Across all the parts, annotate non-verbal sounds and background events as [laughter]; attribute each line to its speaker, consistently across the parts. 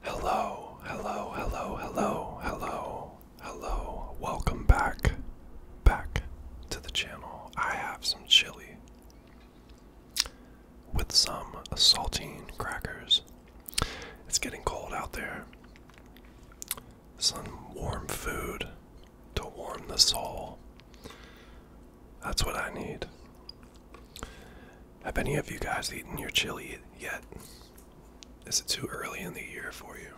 Speaker 1: Hello, hello, hello, hello, hello, hello. Welcome back, back to the channel. I have some chili with some saltine crackers. It's getting cold out there. Some warm food to warm the soul. That's what I need. Have any of you guys eaten your chili yet? Is it too early in the year for you?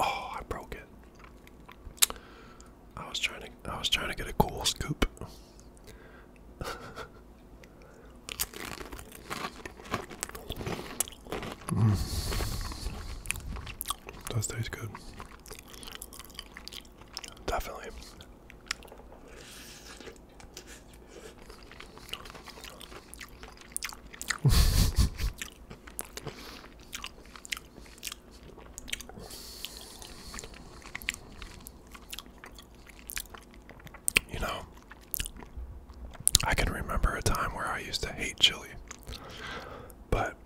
Speaker 1: Oh, I broke it. I was trying to I was trying to get a cool scoop. mm. Does taste good. Definitely. [laughs] you know, I can remember a time where I used to hate chili, but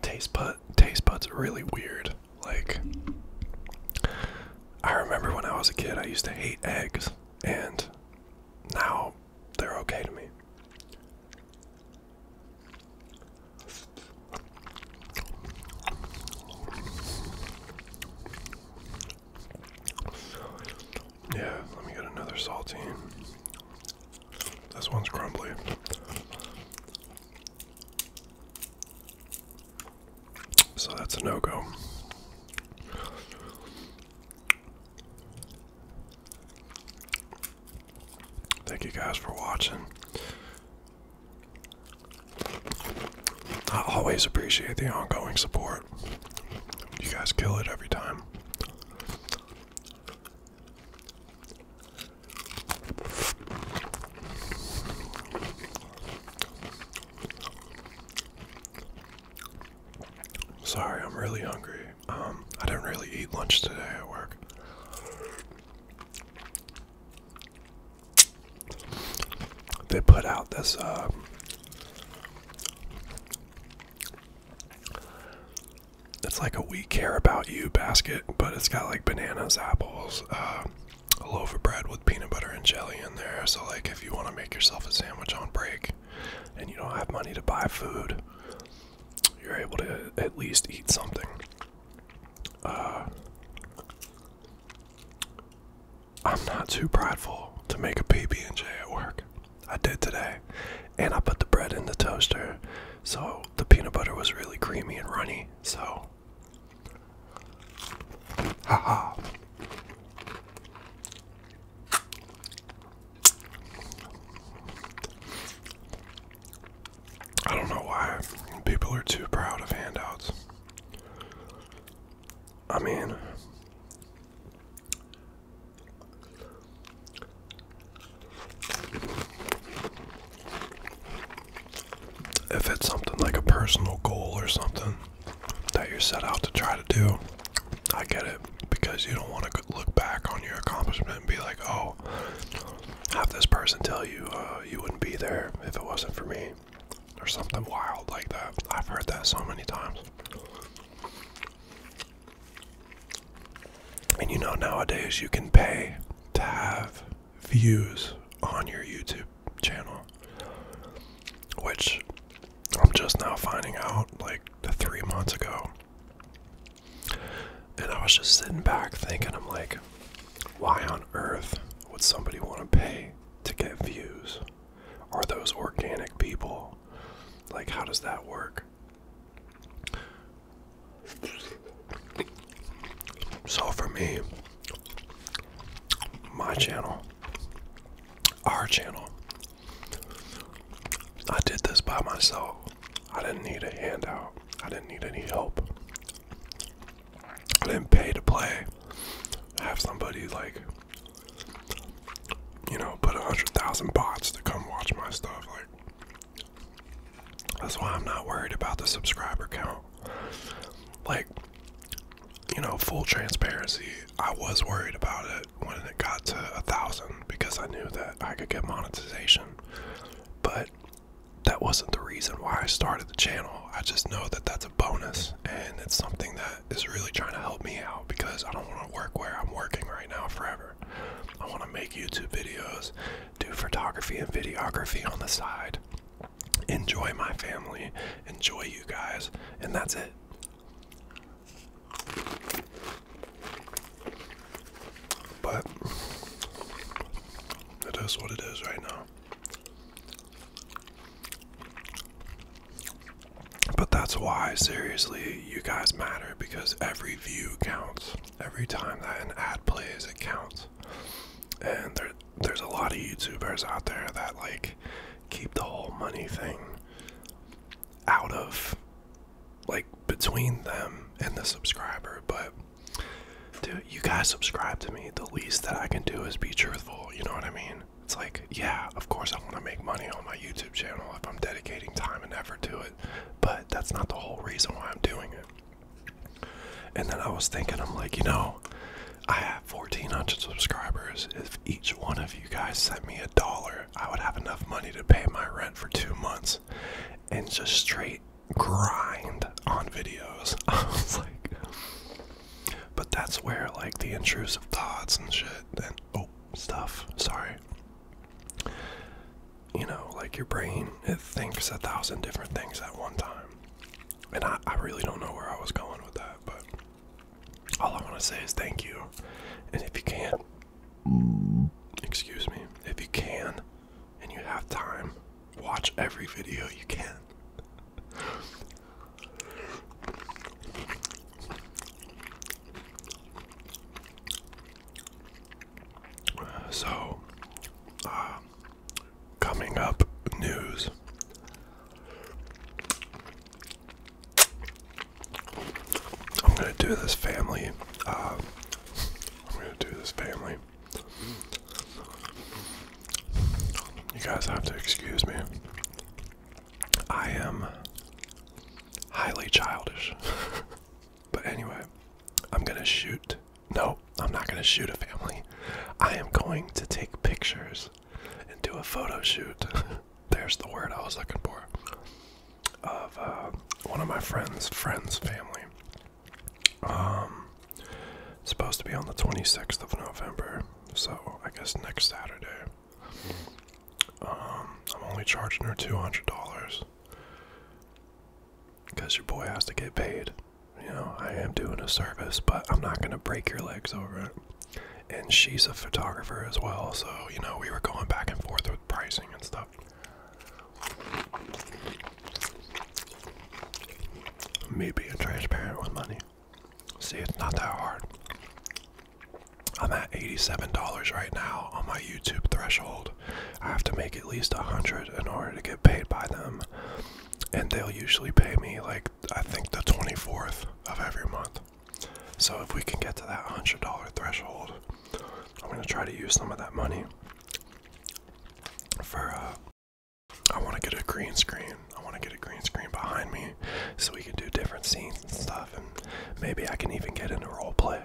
Speaker 1: taste bud taste buds are really weird. Like, I remember when I was a kid, I used to hate eggs, and now they're okay to me. Yeah, let me get another saltine. This one's crumbly. So that's a no go. Thank you guys for watching. I always appreciate the ongoing support. You guys kill it every time. Sorry, I'm really hungry. Um, I didn't really eat lunch today at work. They put out this uh, it's like a we care about you basket, but it's got like bananas, apples, uh, a loaf of bread with peanut butter and jelly in there. So, like, if you want to make yourself a sandwich on break and you don't have money to buy food, you're able to at least eat something. Uh, I'm not too prideful to make a PB and J at work. I did today, and I put the bread in the toaster, so the peanut butter was really creamy and runny. So Wow. Haha. I don't know why people are too proud of handouts. I mean, if it's something like a personal goal or something that you're set out to try to do, I get it because you don't want to look back on your accomplishment and be like, oh, have this person tell you uh, you wouldn't be there if it wasn't for me or something wild like that. I've heard that so many times. And you know, nowadays you can pay to have views on your YouTube channel, which I'm just now finding out like three months ago. And I was just sitting back thinking, I'm like, why on earth would somebody want to pay to get views? Are those organic people? Like, how does that work? So for me, my channel, our channel, I did this by myself. I didn't need a handout. I didn't need any help. I didn't pay to play. I have somebody like, you know, put a hundred thousand bots to come watch my stuff. Like, that's why I'm not worried about the subscriber count. Like, you know, full transparency, I was worried about it when it got to a thousand because I knew that I could get monetization. But that wasn't the reason why I started the channel. I just know that that's a bonus and it's something that is really trying to help me out because I don't want to work where I'm working right now forever. I want to make YouTube videos do photography and videography on the side, enjoy my family, enjoy you guys, and that's it. But it is what it is right now. But that's why, seriously, you guys matter because every view counts every time that an ad plays, it counts. And there, there's a lot of YouTubers out there that like keep the whole money thing out of like between them and the subscriber. But dude, you guys subscribe to me. The least that I can do is be truthful. You know what I mean? It's like, yeah, of course I want to make money on my YouTube channel if I'm dedicating time and effort to it but that's not the whole reason why I'm doing it. And then I was thinking, I'm like, you know, I have 1,400 subscribers. If each one of you guys sent me a dollar, I would have enough money to pay my rent for two months and just straight grind on videos. [laughs] I was like, but that's where like the intrusive thoughts and shit and oh stuff sorry you know, like your brain, it thinks a thousand different things at one time. And I, really don't know where I was going with that, but all I want to say is thank you. And if you can, excuse me, if you can and you have time, watch every video you can. So, uh, coming up news. I'm gonna do this family. Uh, I'm gonna do this family. You guys have to excuse me. I am highly childish. [laughs] But anyway, I'm gonna shoot. No, I'm not gonna shoot a family. I am going to take pictures and do a photo shoot. [laughs] There's the word I was looking for. Of uh, one of my friends' friends' family. Um, supposed to be on the 26th of November, so I guess next Saturday. Hmm. Um, I'm only charging her $200. Because your boy has to get paid. You know, I am doing a service, but I'm not going to break your legs over it. And she's a photographer as well, so, you know, we were going back and forth with pricing and stuff. Me being transparent with money. See, it's not that hard. I'm at $87 right now on my YouTube threshold. I have to make at least a hundred in order to get paid by them, and they'll usually pay me like I think the 24th of every month. So if we can get to that hundred dollar threshold, I'm gonna try to use some of that money for. Uh, I want to get a green screen. I want to get a green screen behind me so we can do different scenes and stuff, and maybe I can even get into role play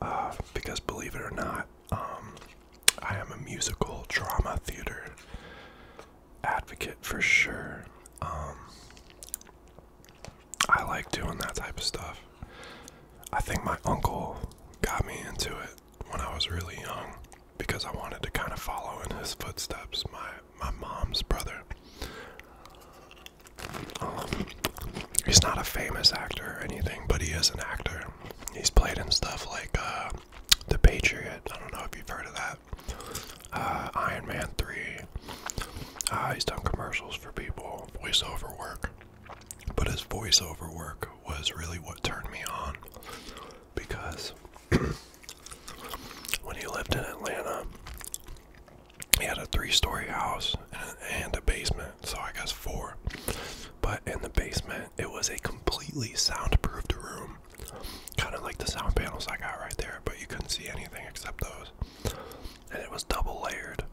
Speaker 1: uh, because believe it or not, um, I am a musical drama theater advocate for sure. Um, I like doing that type of stuff. I think my uncle got me into it when I was really young because I wanted to kind of follow in his footsteps, my my mom's brother. Um, he's not a famous actor or anything, but he is an actor. He's played in stuff like uh, The Patriot. I don't know if you've heard of that. Uh, Iron Man 3. Uh, he's done commercials for people, voiceover work. But his voiceover work was really what turned me on because [clears throat] when he lived in Atlanta, he had a three-story house and a basement, so I guess four. But in the basement, it was a completely soundproofed room, kind of like the sound panels I got right there, but you couldn't see anything except those. And it was double layered.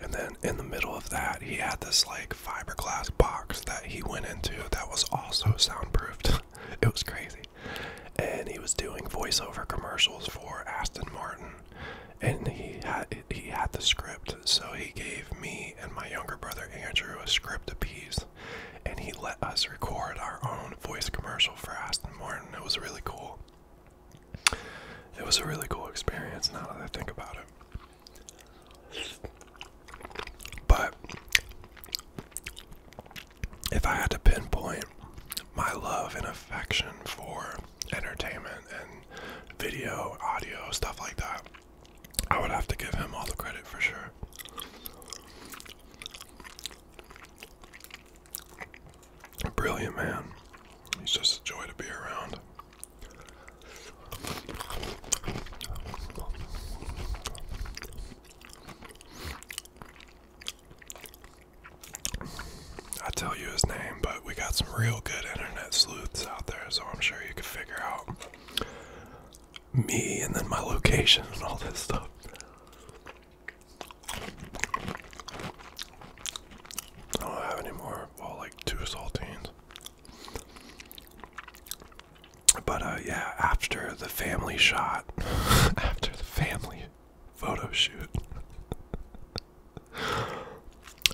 Speaker 1: And then in the middle of that, he had this like fiberglass box that he went into that was also soundproofed. [laughs] it was crazy. And he was doing voiceover commercials for Aston Martin and he had he had the script, so he gave me and my younger brother Andrew a script apiece, and he let us record our own voice commercial for Aston Martin. It was really cool. It was a really cool experience. Now that I think about it, but if I had to pinpoint my love and affection for entertainment and video, audio, stuff like that. I would have to give him all the credit for sure. A Brilliant man. He's just a joy to be around. I tell you his name, but we got some real good internet sleuths out there, so I'm sure you can figure out me and then my location and all this stuff. I have any more, well, like two saltines. But uh, yeah, after the family shot, [laughs] after the family photo shoot. [laughs]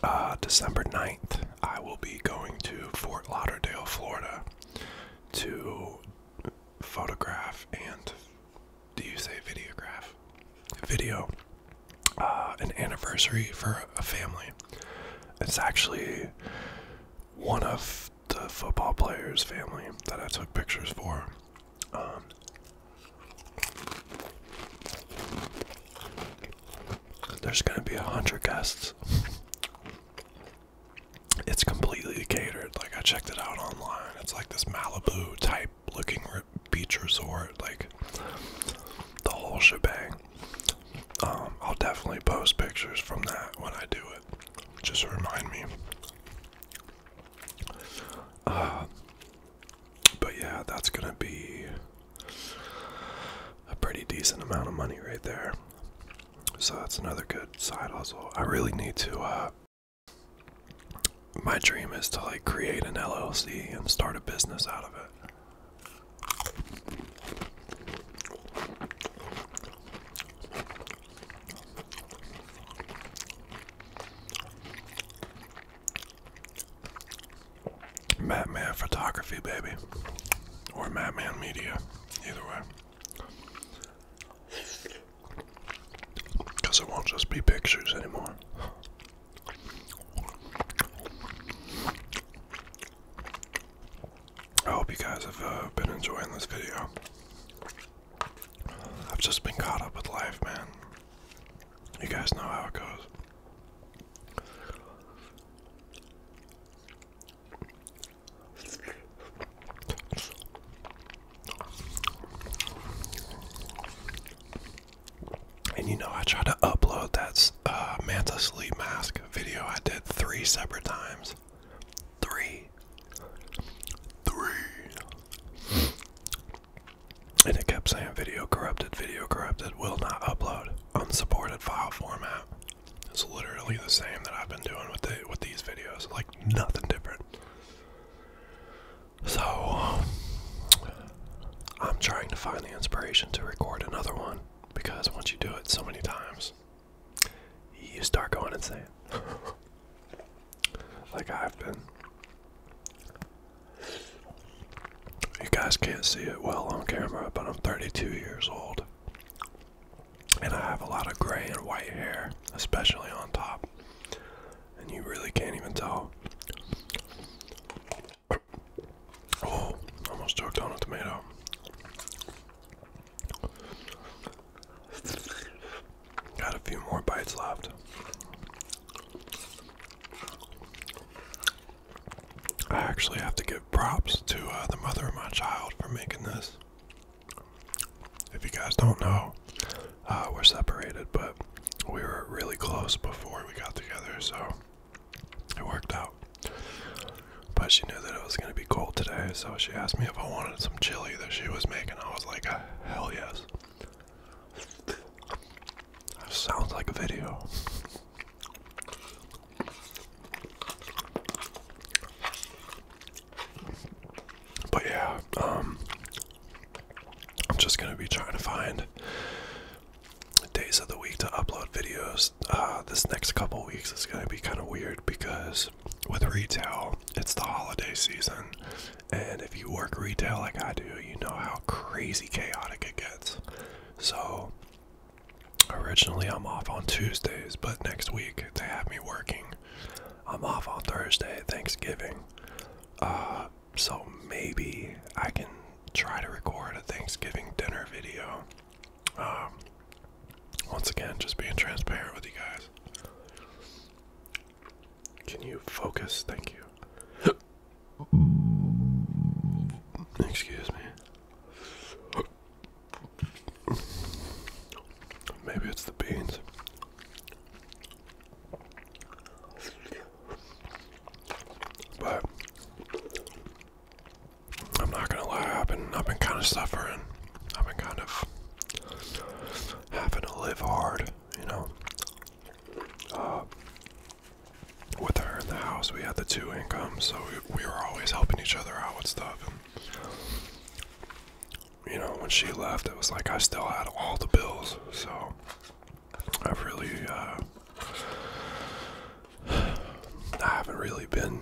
Speaker 1: uh, December 9th, I will be going to Fort Lauderdale, Florida to photograph and do you say videograph? Video. Uh, an anniversary for a family. It's actually one of the football players' family that I took pictures for. Um, there's gonna be a hundred guests. It's completely catered. Like I checked it out online. It's like this Malibu type looking beach resort. Like the whole shebang. Um, I'll definitely post pictures from that when I do it. Just remind me but yeah, that's gonna be a pretty decent amount of money right there. So that's another good side hustle. I really need to. Uh, my dream is to like create an LLC and start a business out of it. Madman Photography, baby. Or Madman Media. Either way. Because it won't just be pictures anymore. I hope you guys have uh, been enjoying this video. I've just been caught up with life, man. You guys know how it goes. And you know, I tried to upload that uh, Manta sleep mask video I did three separate times. Three three. And it kept saying video corrupted, video corrupted, will not upload, unsupported file format. It's literally the same that I've been doing with the, with these videos, like nothing different. So I'm trying to find the inspiration to record another one because once you do it so many times, you start going insane. [laughs] like I've been. You guys can't see it well on camera, but I'm 32 years old. And I have a lot of gray and white hair, especially on top. And you really can't even tell. [coughs] Oh, almost choked on a tomato. Got a few more bites left. I actually have to give props to uh, the mother of my child for making this. If you guys don't know, uh, we're separated, but we were really close before we got together, so it worked out. But she knew that it was going to be cold today, so she asked me if I wanted some chili that she was making. I was like, hell yes. That sounds like a video. But yeah, um, I'm just gonna be trying to find days of the week to upload videos. Uh, this next couple weeks is gonna be kind of weird because with retail, it's the holiday season. And if you work retail like I do, you know how crazy chaotic it gets. So, originally I'm off on Tuesdays, but next week they have me working. I'm off on Thursday, Thanksgiving. Uh, so maybe I can try to record a Thanksgiving dinner video. Um, once again, just being transparent with you guys. Can you focus? Thank you. Excuse me. Maybe it's the beans. But I'm not gonna lie, I've been I've been kind of suffering. I've been kind of having to live hard, you know. Uh, with her in the house, we had the two incomes, so we, were always helping each other out with stuff. you know, when she left, it was like I still had all the bills, so I've really, uh, [sighs] I haven't really been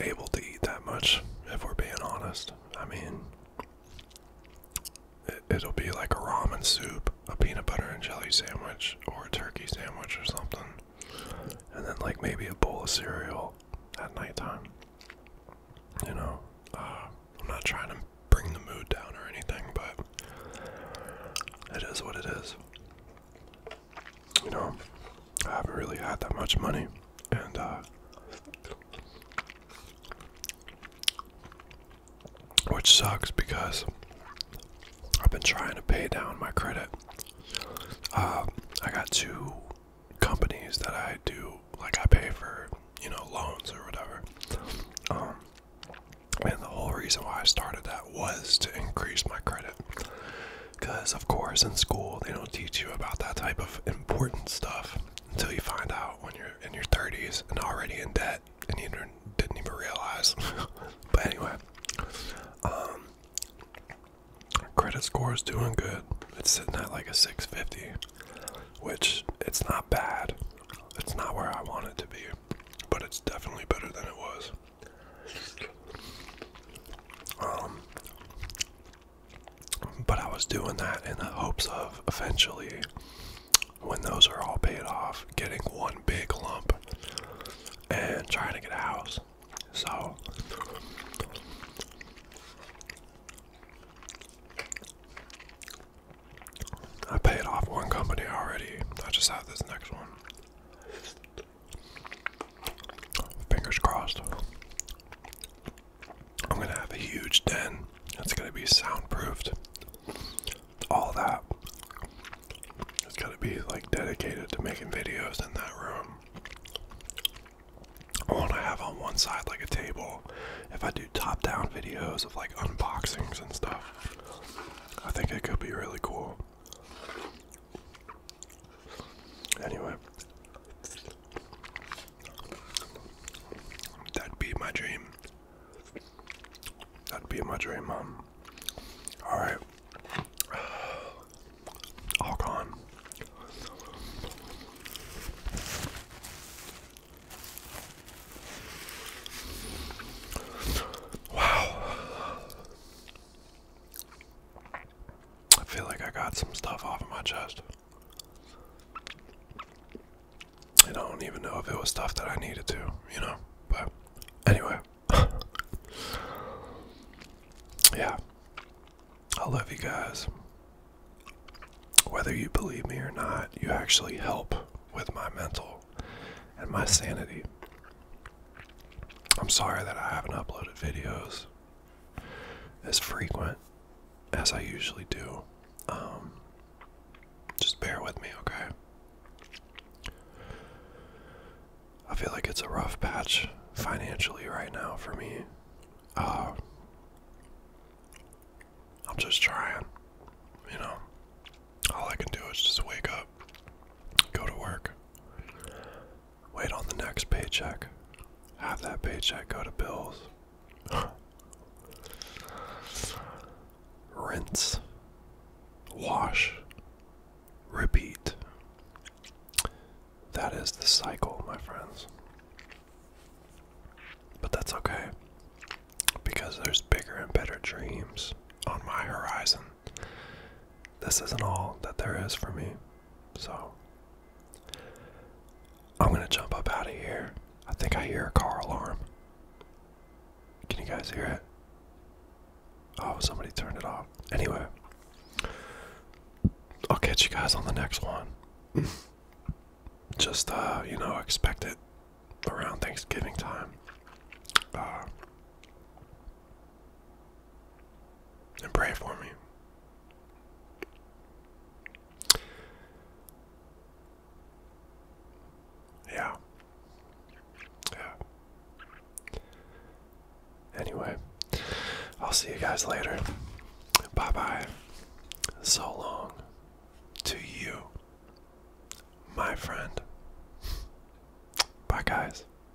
Speaker 1: able to eat that much, if we're being honest. I mean, it, will be like a ramen soup, a peanut butter and jelly sandwich, or a turkey sandwich or something. And then, like, maybe a bowl of cereal at nighttime. You know, uh, I'm not trying to bring the mood down or anything, but it is what it is. You know, I haven't really had that much money, and uh, which sucks because I've been trying to pay down my credit. Uh, I got two companies that I do like I pay for, you know, loans or whatever. Um, and the whole reason why I started that was to increase my credit. Because, of course, in school, they don't teach you about that type of important stuff until you find out when you're in your 30s and already in debt and you didn't even realize. [laughs] but anyway, um, credit score is doing good. It's sitting at like a 650, which it's not bad. It's not where I want it to be, but it's definitely better than it was. Um, but I was doing that in the hopes of eventually, when those are all paid off, getting one big lump and trying to get a house. So. I paid off one company already. I just have this next one. Fingers crossed. I'm gonna have a huge den. It's gonna be soundproofed. All that. It's gonna be like dedicated to making videos in that room. I want to have on one side like a table. If I do top down videos of like unboxings and stuff, I think it could be really cool. Anyway, that'd be my dream. That'd be my dream, mom. All right, [sighs] all gone. Wow. I feel like I got some stuff off of my chest. I don't even know if it was stuff that I needed to, you know? But anyway. [laughs] yeah. I love you guys. Whether you believe me or not, you actually help with my mental and my sanity. I'm sorry that I haven't uploaded videos as frequent as I usually do. Um, just bear with me, okay? I feel like it's a rough patch financially right now for me. Uh, I'm just trying, you know. All I can do is just wake up, go to work, Wait on the next paycheck. Have that paycheck go to bills. [sighs] Rinse. Wash. Repeat. That is the cycle, my friends. But that's okay. Because there's bigger and better dreams on my horizon this isn't all that there is for me. So I'm gonna jump up out of here. I think I hear a car alarm. Can you guys hear it? Oh, somebody turned it off. Anyway, I'll catch you guys on the next one. [laughs] Just, uh, you know, expect it around Thanksgiving time. Uh, and pray for me. Yeah. Yeah. Anyway, I'll see you guys later. Bye bye. So long to you, my friend. Bye, guys.